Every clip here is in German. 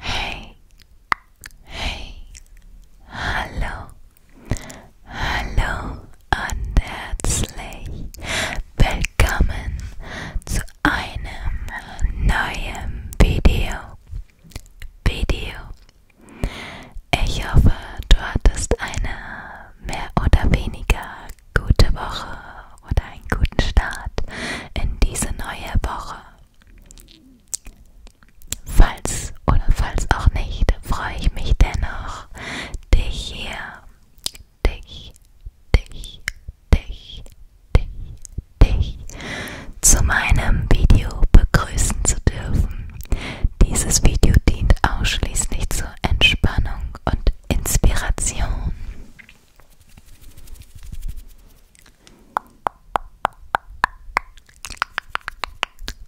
Hey, hey, hallo, hallo und herzlich willkommen zu einem neuen Video. Video. Ich hoffe, du hattest eine mehr oder weniger gute Woche oder einen guten Start in diese neue Woche. Falls oder falls auch nicht, freue ich mich dennoch, dich hier, dich, dich, dich, dich, dich zu meinem Video begrüßen zu dürfen. Dieses Video dient ausschließlich zur Entspannung und Inspiration.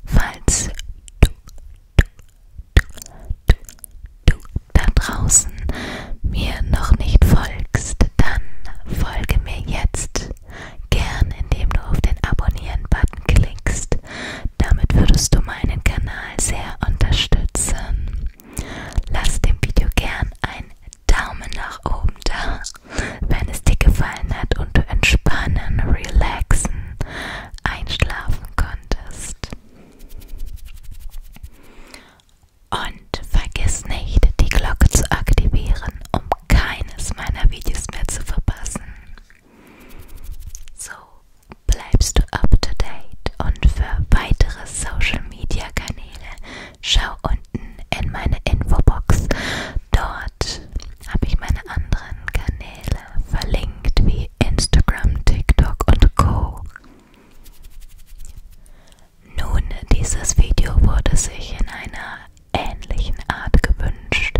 Falls du, du, du, du da draußen mir noch nicht folgst, dann folge mir jetzt gern, indem du auf den Abonnieren-Button klickst. Damit würdest du meinen Kanal sehr unterstützen. Lass dem Video gern einen Daumen nach oben da, wenn es dir gefallen hat und du entspannen, relaxen, einschlafen konntest. Und vergiss nicht, die Glocke zu aktivieren, um keines meiner Videos mehr zu verpassen. So bleibst du up to date und für weitere weitere Social Media Kanäle, schau unten in meine Infobox. Dort habe ich meine anderen Kanäle verlinkt, wie Instagram, TikTok und Co. Nun, dieses Video wurde sich in einer ähnlichen Art gewünscht.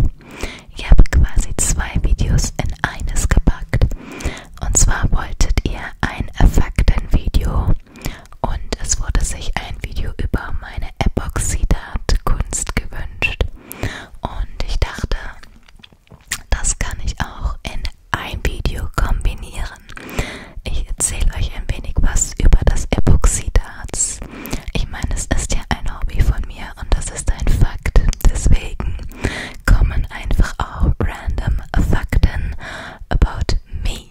Ich habe quasi zwei Videos in eines gepackt. Und zwar wolltet ihr ein Faktenvideo und es wurde sich ein Video über meine Epoxidat-Kunst gewünscht. Und ich dachte, das kann ich auch in ein Video kombinieren. Ich erzähle euch ein wenig was über das Epoxidat. Ich meine, es ist ja ein Hobby von mir und das ist ein Fakt. Deswegen kommen einfach auch random Fakten about me.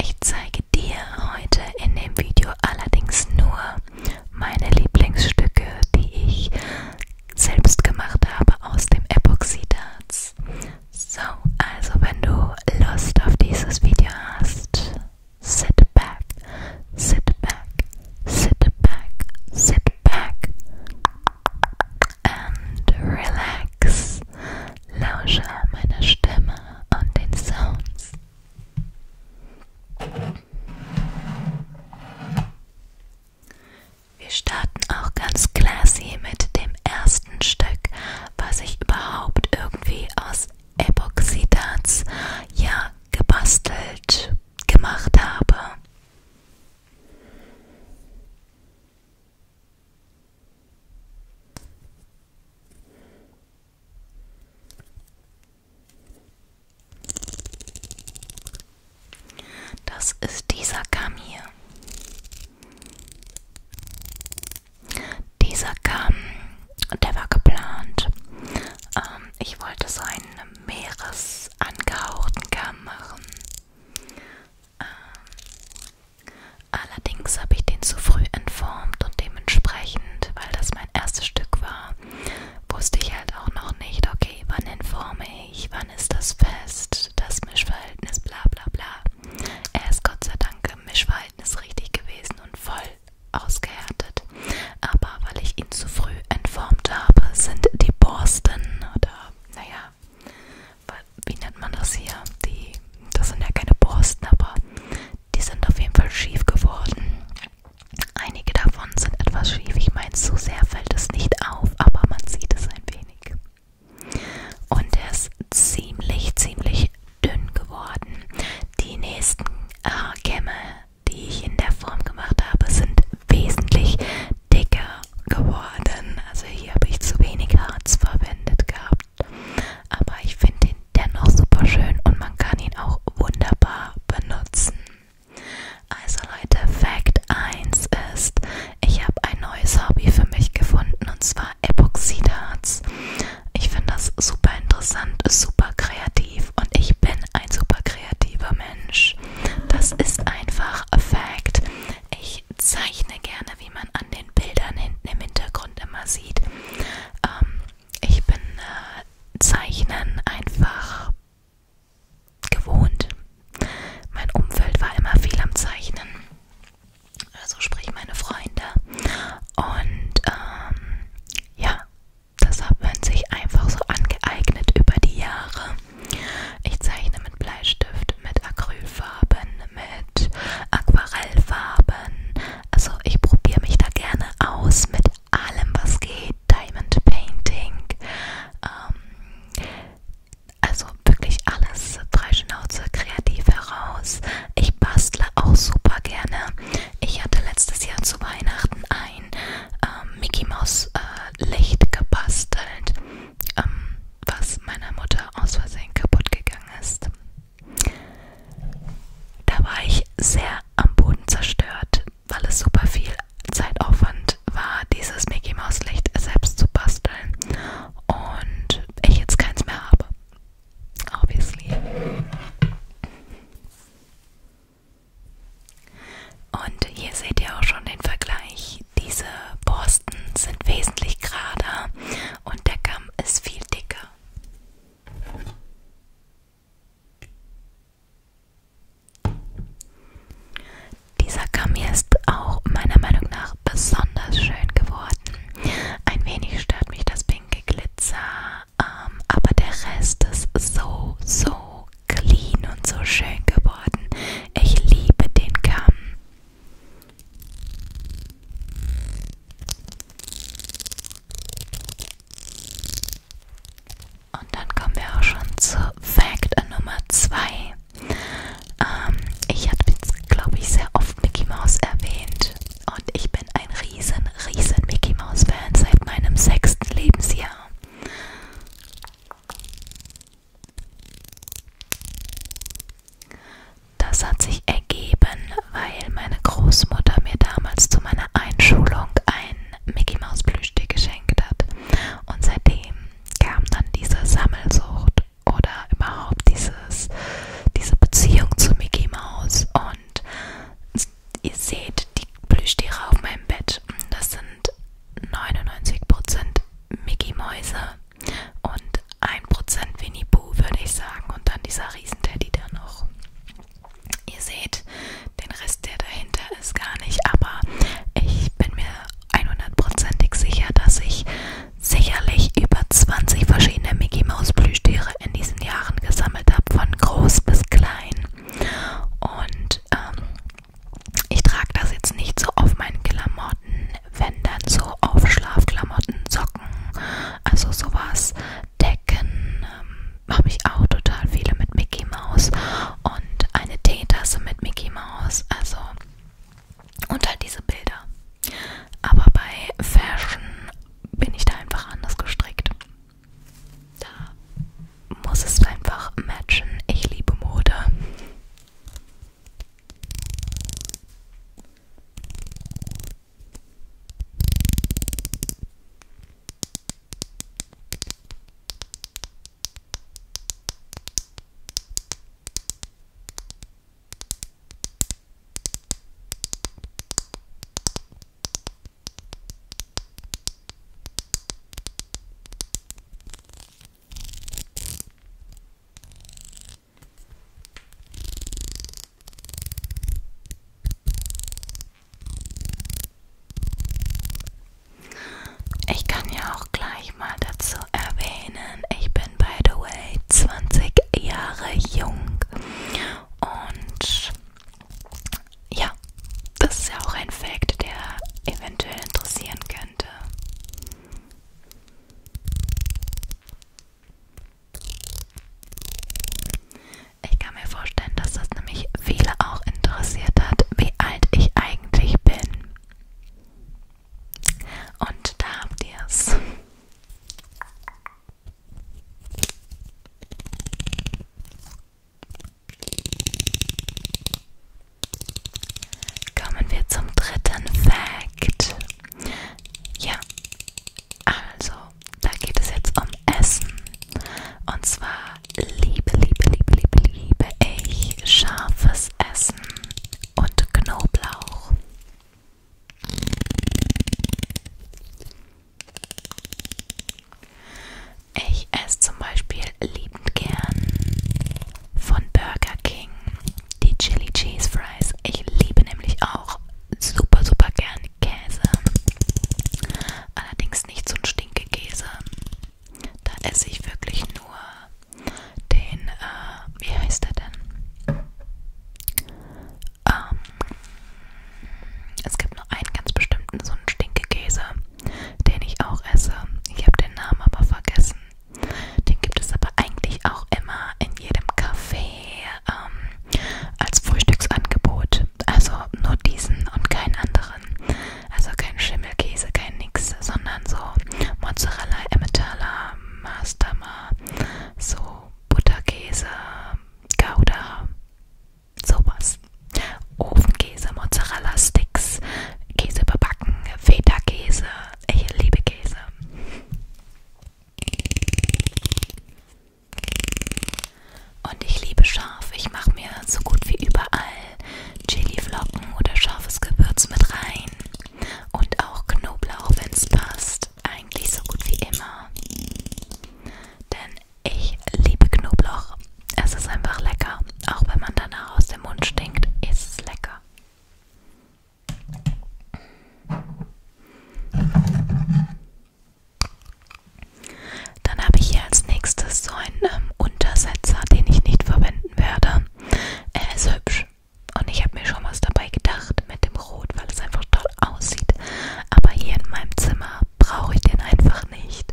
Ich zeige dir heute in dem Video allerdings nur meine Lieblingsstücke, die ich selbst gemacht habe aus dem Epoxidharz. So, also wenn du Lust auf dieses Video hast, sit back, sit back, sit back, sit back and relax. Lausche meiner Stimme und den Sounds. Wir starten auch ganz classy mit dem ersten Stück, was ich überhaupt irgendwie aus Epoxidharz ja gebastelt gemacht habe. Das ist dieser Kamm hier. Dieser Kamm, der war geplant. Ähm, ich wollte so einen meeresangehauchten Kamm machen. Ähm, allerdings habe ich den zu früh entformt und dementsprechend, weil das mein erstes Stück war, wusste ich halt auch noch nicht, okay, wann entforme ich, wann ist das fest, das Mischverhältnis, bla bla bla. Er ist Gott sei Dank im Mischverhältnis richtig gewesen und voll ausgehärtet. Aber weil ich ihn zu früh entformt habe, sind die Borsten oder, naja, wie nennt man das hier? Die, das sind ja keine Borsten, aber die sind auf jeden Fall schief geworden. Einige davon sind etwas schief. Ich meine, so sehr fällt es nicht auf, aber man sieht es ein wenig. Und er ist ziemlich, ziemlich dünn geworden. Die nächsten äh, Kämme, die ich in der Form gemacht habe, sind wesentlich dicker geworden. Also hier habe ich zu wenig Harz verwendet gehabt. Aber ich finde ihn dennoch super schön und man kann ihn auch wunderbar benutzen. Also Leute, Fact 1 ist, ich habe ein neues Hobby für mich gefunden und zwar Epoxidharz. Ich finde das super interessant, super kreativ und ich bin ein super kreativer Mensch. Das ist einfach Fact. Ich zeichne gerne, wie man an den Bildern hinten im Hintergrund immer sieht. Ähm, ich bin äh, Zeichnen einfach gewohnt. Mein Umfeld war immer viel am Zeichnen. Also sprich meine Freunde. Und ähm, ja, das hat man sich einfach so angeeignet über die Jahre. Ich zeichne mit Bleistift, mit Acrylfarben, mit Aquarellfarben. Also ich probiere mich da gerne aus mit allem, was geht. Diamond Painting. Ähm, also wirklich alles. Drei Schnauze kreativ heraus. Ich bastle auch super gerne. Ich hatte letztes Jahr zu Weihnachten ein ähm, Mickey Mouse äh, Licht gebastelt ähm, was meiner Mutter aus Versehen kaputt gegangen ist. Da war ich sehr am Boden zerstört, weil es super viel Zeitaufwand war, dieses Mickey Maus Licht selbst zu basteln und ich jetzt keins mehr habe. Obviously. Und hier seht ihr auch schon den Vergleich. Diese Borsten sind wesentlich gerader und der Kamm ist viel dicker. Dieser Kamm hier ist auch meiner Meinung nach besonders schön geworden. Ein wenig stört mich das pinke Glitzer, ähm, aber der Rest ist so, so clean und so schön geworden. Ich liebe den Kamm. Und dann kommen wir auch schon zu Fact Nummer 2. Ähm, ich habe jetzt, glaube ich, sehr oft Mickey Mouse erwähnt. Und ich bin ein riesen, riesen Mickey Mouse-Fan seit meinem sechsten Lebensjahr. Das hat sich ergeben, weil meine Großmutter mir damals zu meiner Einschulung ein Mickey Maus Plüschtier geschenkt hat. Und seitdem kam dann diese Sammelsucht oder überhaupt dieses, diese Beziehung zu Mickey Maus. Und ihr seht die Plüschtiere auf meinem Bett. Das sind 99% Mickey Mäuse und 1% Winnie Pooh, würde ich sagen. Und dann dieser Riesenteddy da noch. Ihr seht, den Rest, der dahinter ist, gar nicht. Aber ich bin mir 100%ig sicher, dass ich sicherlich über 20 verschiedene Mickey Maus Plüschtiere in diesen Jahren gesammelt habe, von groß bis klein. Und ähm, ich trage das jetzt nicht so auf meinen Klamotten, wenn dann so auf Schlafklamotten, Socken, also sowas, Decken, ähm, habe ich auch total viele mit Mickey Mouse und eine Teetasse mit Mickey Mouse, also und halt diese Bilder. Aber bei Fashion bin ich da einfach anders gestrickt. Da muss es einfach matchen. Ich liebe Mode. Ich kann ja auch gleich mal dazu erwähnen, ich bin by the way 20 Jahre jung und ja, das ist ja auch ein Fact, der eventuell interessieren kann könnte. Ich kann mir vorstellen, dass das nämlich viele auch interessiert hat, wie alt ich eigentlich bin. Und da habt ihr es. Kommen wir zum dritten Fact. Ja, also, da geht es jetzt um Essen. Und zwar liebe, liebe, liebe, liebe, liebe ich scharfes Essen und Knoblauch. Ich esse zum Beispiel liebend gern von Burger King die Chili Cheese Fries. Ich liebe nämlich auch super, super gern Käse. Allerdings nicht so ein Stinkekäse. Da esse ich wirklich nur den, äh, wie heißt der denn? Ähm, es gibt nur einen ganz bestimmten, so einen Stinkekäse den ich auch esse. Ich habe den Namen aber vergessen. Den gibt es aber eigentlich auch immer in jedem Café ähm, als Frühstücksangebot. Also nur diesen und keinen anderen. Also kein Schimmelkäse, kein Nix, sondern so Mozzarella, Emmentaler, Mastama, so Butterkäse, Gouda, sowas. Ofenkäse, Mozzarella-Sticks, Käse überbacken, Feta-Käse. Ich liebe Käse. Und ich liebe scharf. Ich mache mir so gut wie überall Chili-Flocken oder scharfes Gewürz mit rein. Und auch Knoblauch, wenn es passt. Eigentlich so gut wie immer. Denn ich liebe Knoblauch es ist einfach lecker. Auch wenn man danach aus dem Mund stinkt, ist es lecker. Dann habe ich hier als nächstes so einen ähm, Untersetzer, den ich nicht verwenden werde. Er ist hübsch und ich habe mir schon was dabei gedacht mit dem Rot, weil es einfach toll aussieht. Aber hier in meinem Zimmer brauche ich den einfach nicht.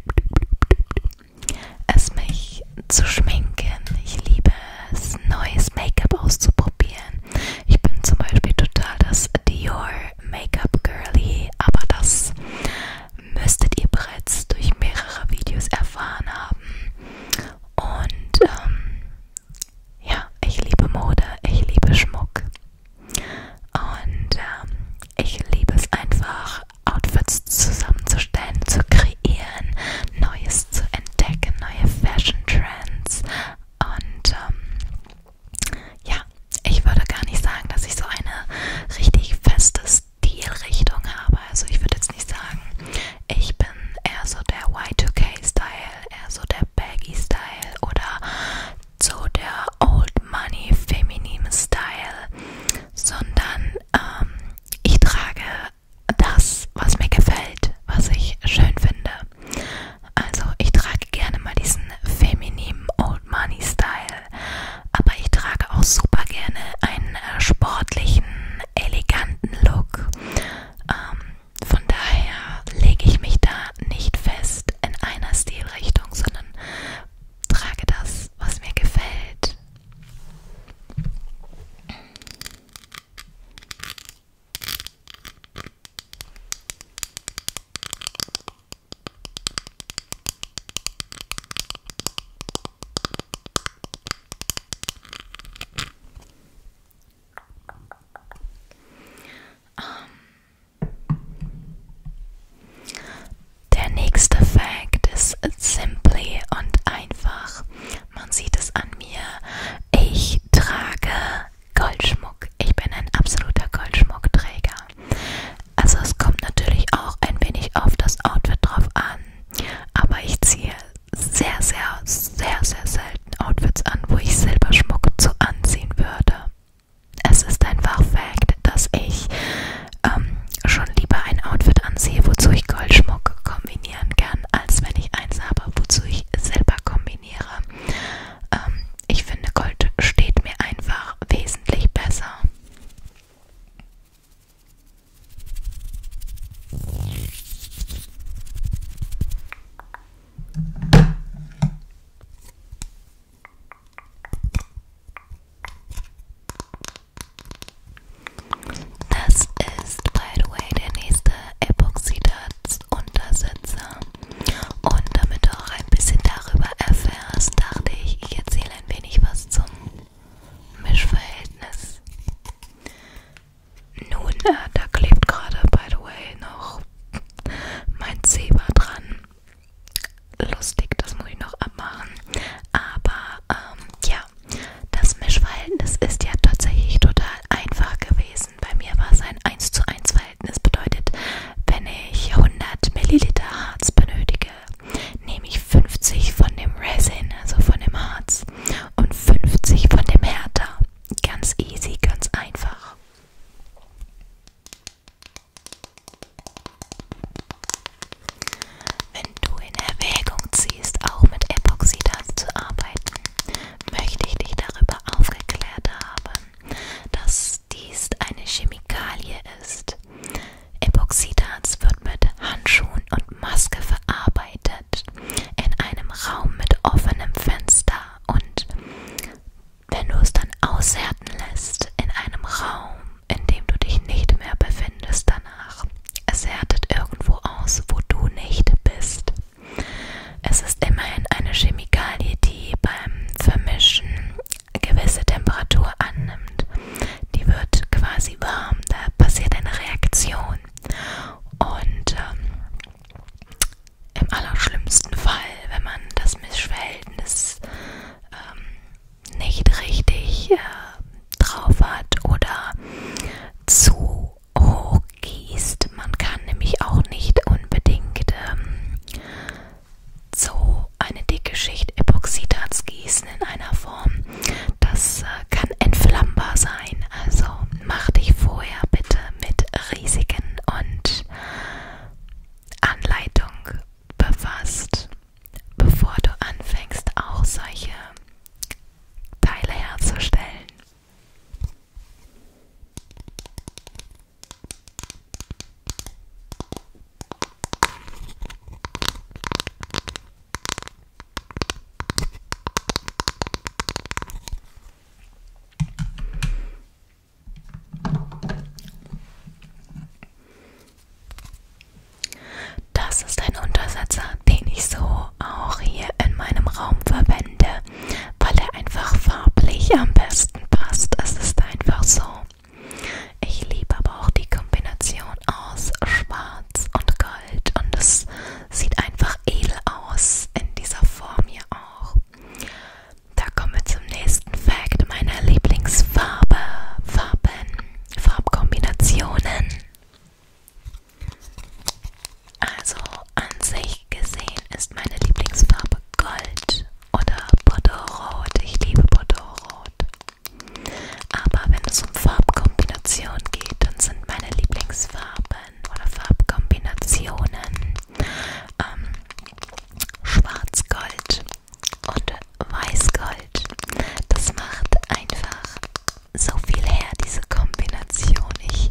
es mich zu schminken. Ich liebe es, neues Make-up auszuprobieren. Ich bin zum Beispiel total das Dior Make-up Girlie, aber das müsstet ihr bereits durch mehrere Videos erfahren haben. Und ähm, ja, ich liebe Mode, ich liebe Schmuck. Und ähm, ich liebe es einfach, Outfits zusammenzustellen, zu kreieren, Neues zu entdecken, neue Fashion Trends. Und ähm, ja, ich würde gar nicht sagen, dass ich so eine richtig feste Stilrichtung habe. Also ich würde jetzt nicht sagen, ich bin eher so der Y2K-Style, eher so der Baggy-Style oder so der Old Money Feminim Style, sondern ähm, ich trage das, was mir gefällt, was ich schön finde. Also ich trage gerne mal diesen feminin Old Money Style, aber ich trage auch super gerne einen äh, sportlichen, eleganten Look. Ähm, von daher lege ich mich da nicht fest in einer Stilrichtung, sondern trage das, was mir gefällt. Um, ähm, der nächste Fact ist simply und einfach. Man sieht es an mir. Ich trage Goldschmuck. Ich bin ein absoluter Goldschmuckträger. Also es kommt natürlich auch ein wenig auf das Outfit drauf an. Aber ich ziehe sehr, sehr, sehr, sehr selten Outfits an, wo ich Silberschmuck zu anziehen würde. Es ist einfach Fact, dass ich ähm, schon lieber ein Outfit anziehe, wozu ich Goldschmuck kombinieren kann, als wenn ich eins habe, wozu ich Silber kombiniere. Ähm, ich finde, Gold steht mir einfach wesentlich besser. Das ist, by the way, der nächste Epoxidat Untersetzer. Und damit du auch ein bisschen darüber erfährst, dachte ich, ich erzähle ein wenig was zum Mischverhältnis. Nun, äh, da klebt gerade, by the way, noch mein Zebra dran lustig, das muss ich noch abmachen. Aber ähm, ja, das Mischverhältnis ist ja tatsächlich total einfach gewesen. Bei mir war es ein 1 zu 1 Verhältnis. Bedeutet, wenn ich 100 Milliliter Harz benötige, nehme ich 50 von dem Resin, also von dem Harz, und 50 von dem Härter. Ganz easy, ganz einfach. Wenn du in Erwägung ziehst, auch mit Epoxidat zu arbeiten, möchte ich dich darüber aufgeklärt haben, dass dies eine Chemikalie ist. Epoxidat wird mit Handschuhen und Maske verarbeitet in einem Raum mit offenem Fenster und wenn du es dann aushärten lässt in einem Raum, in dem du dich nicht mehr befindest danach, es härtet irgendwo aus, wo du nicht bist. Es ist immerhin eine Chemikalie, die beim Vermischen gewisse Temperatur annimmt. Die wird quasi warm, da passiert eine Reaktion. Und ähm, im allerschlimmsten Fall, wenn man das Mischverhältnis ähm, nicht richtig äh, drauf hat oder zu hoch gießt. Man kann nämlich auch nicht unbedingt ähm, so eine dicke Schicht Epoxidharz gießen in einer Form. Das äh, kann entflammbar sein. Also mach dich vorher bitte mit Risiken und Anleitung befasst bevor du anfängst, auch solche Teile herzustellen. Das ist ein Untersetzer, den ich so auch hier in meinem Raum verwende, weil er einfach farblich am besten passt. Es ist einfach so. Ich liebe aber auch die Kombination aus Schwarz und Gold und es sieht einfach edel aus in dieser Form hier auch. Da kommen wir zum nächsten Fact meiner Lieblingsfarbe. Farben, Farbkombinationen. Also an sich gesehen ist meine Lieblingsfarbe Gold oder Bordeaux-Rot. Ich liebe Bordeaux-Rot. Aber wenn es um Farbkombination geht, dann sind meine Lieblingsfarben oder Farbkombinationen ähm, Schwarz-Gold und Weißgold. Das macht einfach so viel her, diese Kombination. Ich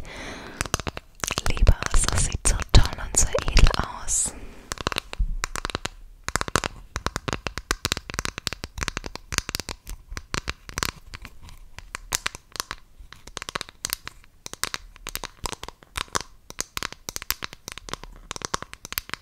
liebe es, das sieht so toll und so edel aus.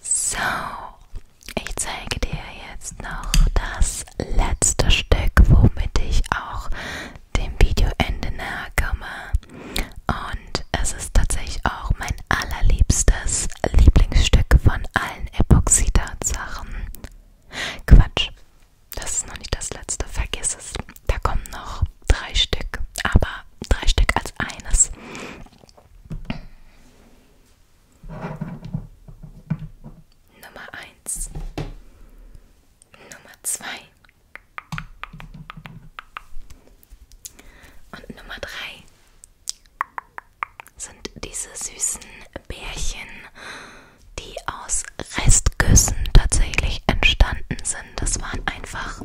So, ich zeige dir jetzt noch das letzte Stück, womit ich auch dem Videoende nahe komme. Und es ist tatsächlich auch mein allerliebstes Lieblingsstück von allen Epoxidhartsachen. Quatsch, das ist noch nicht das letzte, vergiss es. Da kommen noch drei Stück, aber drei Stück als eines. Nummer 1. Nummer 2. Und Nummer 3 sind diese süßen Bärchen, die aus Restküssen tatsächlich entstanden sind. Das waren einfach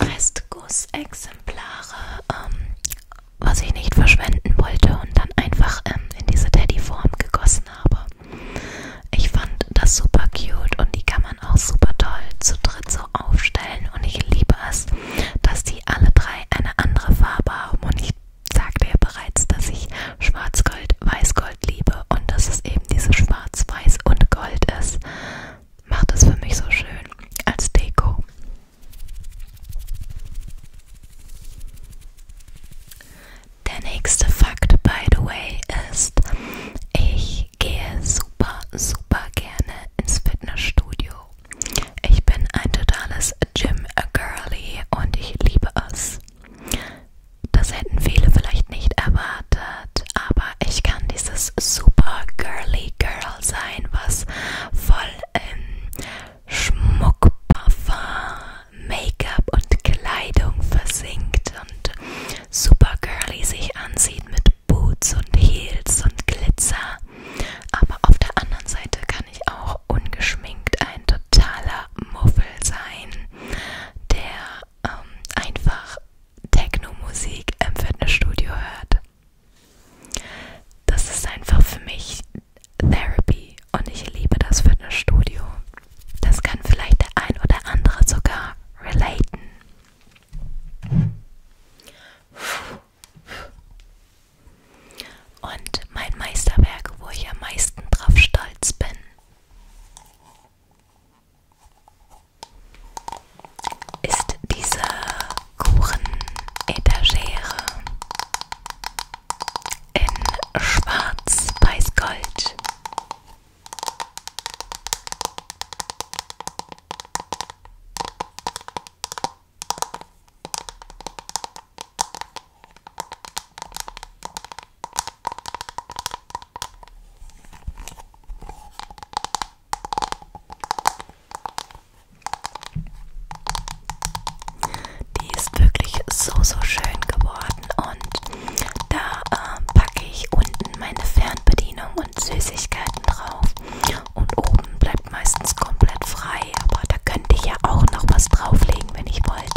Restgussexemplare, ähm, was ich nicht verschwenden wollte und dann einfach ähm, in diese Teddyform gegossen habe. Ich fand das super cute und die kann man auch super toll zu dritt so aufstellen und ich liebe es, dass die alle drei eine andere Farbe haben. Und ich sagte ja bereits, dass ich Schwarzgold, Weißgold liebe und dass es eben diese Schwarz-Weiß und Gold ist. Macht es für mich so schön als Deko. Der nächste Fakt, by the way, ist, ich gehe super, super gerne ins Fitnessstudio. Hallo, ich bin ein totales Gym-Girly und ich liebe es. Das hätten viele vielleicht nicht erwartet, aber ich kann dieses super girly Girl sein, was voll in Schmuck, Parfum, Make-up und Kleidung versinkt und super girly sich ansieht mit Boots und Heels und Glitzer. Aber auf der anderen Seite kann ich auch ungeschminkt ein totaler Muffel sein, der ähm, einfach Techno-Musik im Fitnessstudio hört. Das ist einfach für mich Therapy und ich liebe das Fitnessstudio. Das kann vielleicht der ein oder andere sogar relaten. Puh. Und mein Meisterwerk, wo ich am meisten drauf stolz bin, ist diese Kuchen-Etagere in schwarz weiß Gold. Die ist wirklich so, so schön geworden und da äh, packe ich unten meine Fernbedienung und Süßigkeiten drauf und oben bleibt meistens komplett frei, aber da könnte ich ja auch noch was drauflegen, wenn ich wollte.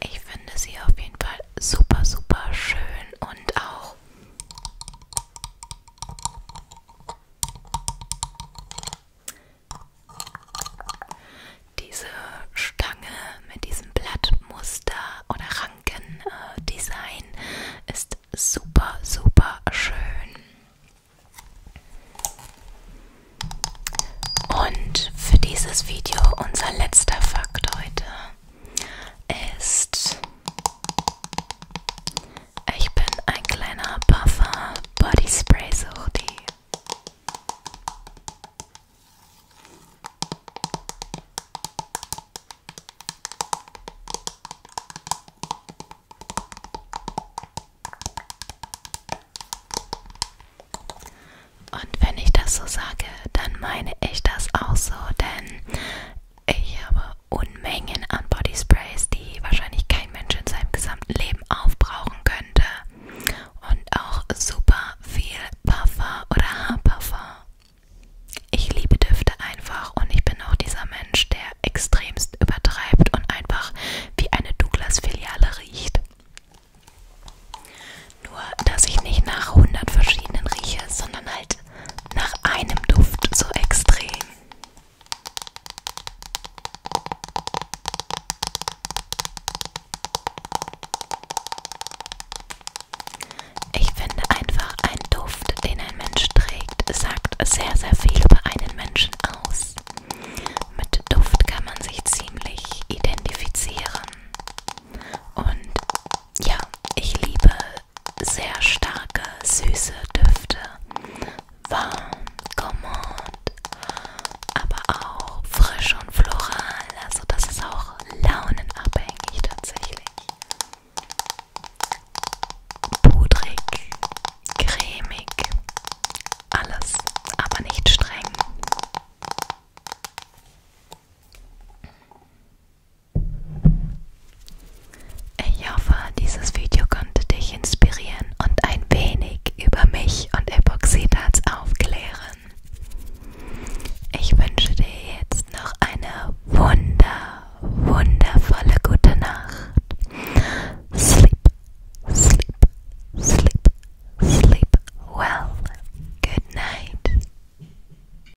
Ich finde sie auf jeden Fall super, super schön und auch diese Stange mit diesem Blattmuster oder Rankendesign äh, ist super, super schön. Und für dieses Video unser letzter Fakt heute ist ich bin ein kleiner Buffer Body Spray Suchti. Und wenn ich das so sage, dann meine ich das auch so, denn ich habe Unmengen an Bodysprays, die wahrscheinlich kein Mensch in seinem gesamten Leben aufbrauchen könnte. Und auch super viel Puffer oder Haarpuffer. Ich liebe Düfte einfach und ich bin auch dieser Mensch, der extremst übertreibt und einfach wie eine Douglas-Filiale riecht. Nur, dass ich nicht nach 100 verschiedenen rieche, sondern halt nicht nach einem Duft so extrem. Ich finde einfach, ein Duft, den ein Mensch trägt, sagt sehr, sehr viel über einen Menschen aus. Mit Duft kann man sich ziemlich identifizieren. Und ja, ich liebe sehr starke, süße Düfte. Warm, gourmand, aber auch frisch und floral. Also das ist auch launenabhängig tatsächlich. Pudrig, cremig, alles, aber nicht streng. Ich hoffe, dieses Video konnte dich inspirieren und ein wenig über mich und Epoxidharz aufklären. Ich wünsche dir jetzt noch eine wunder, wundervolle gute Nacht. Sleep, sleep, sleep, sleep well. Good night.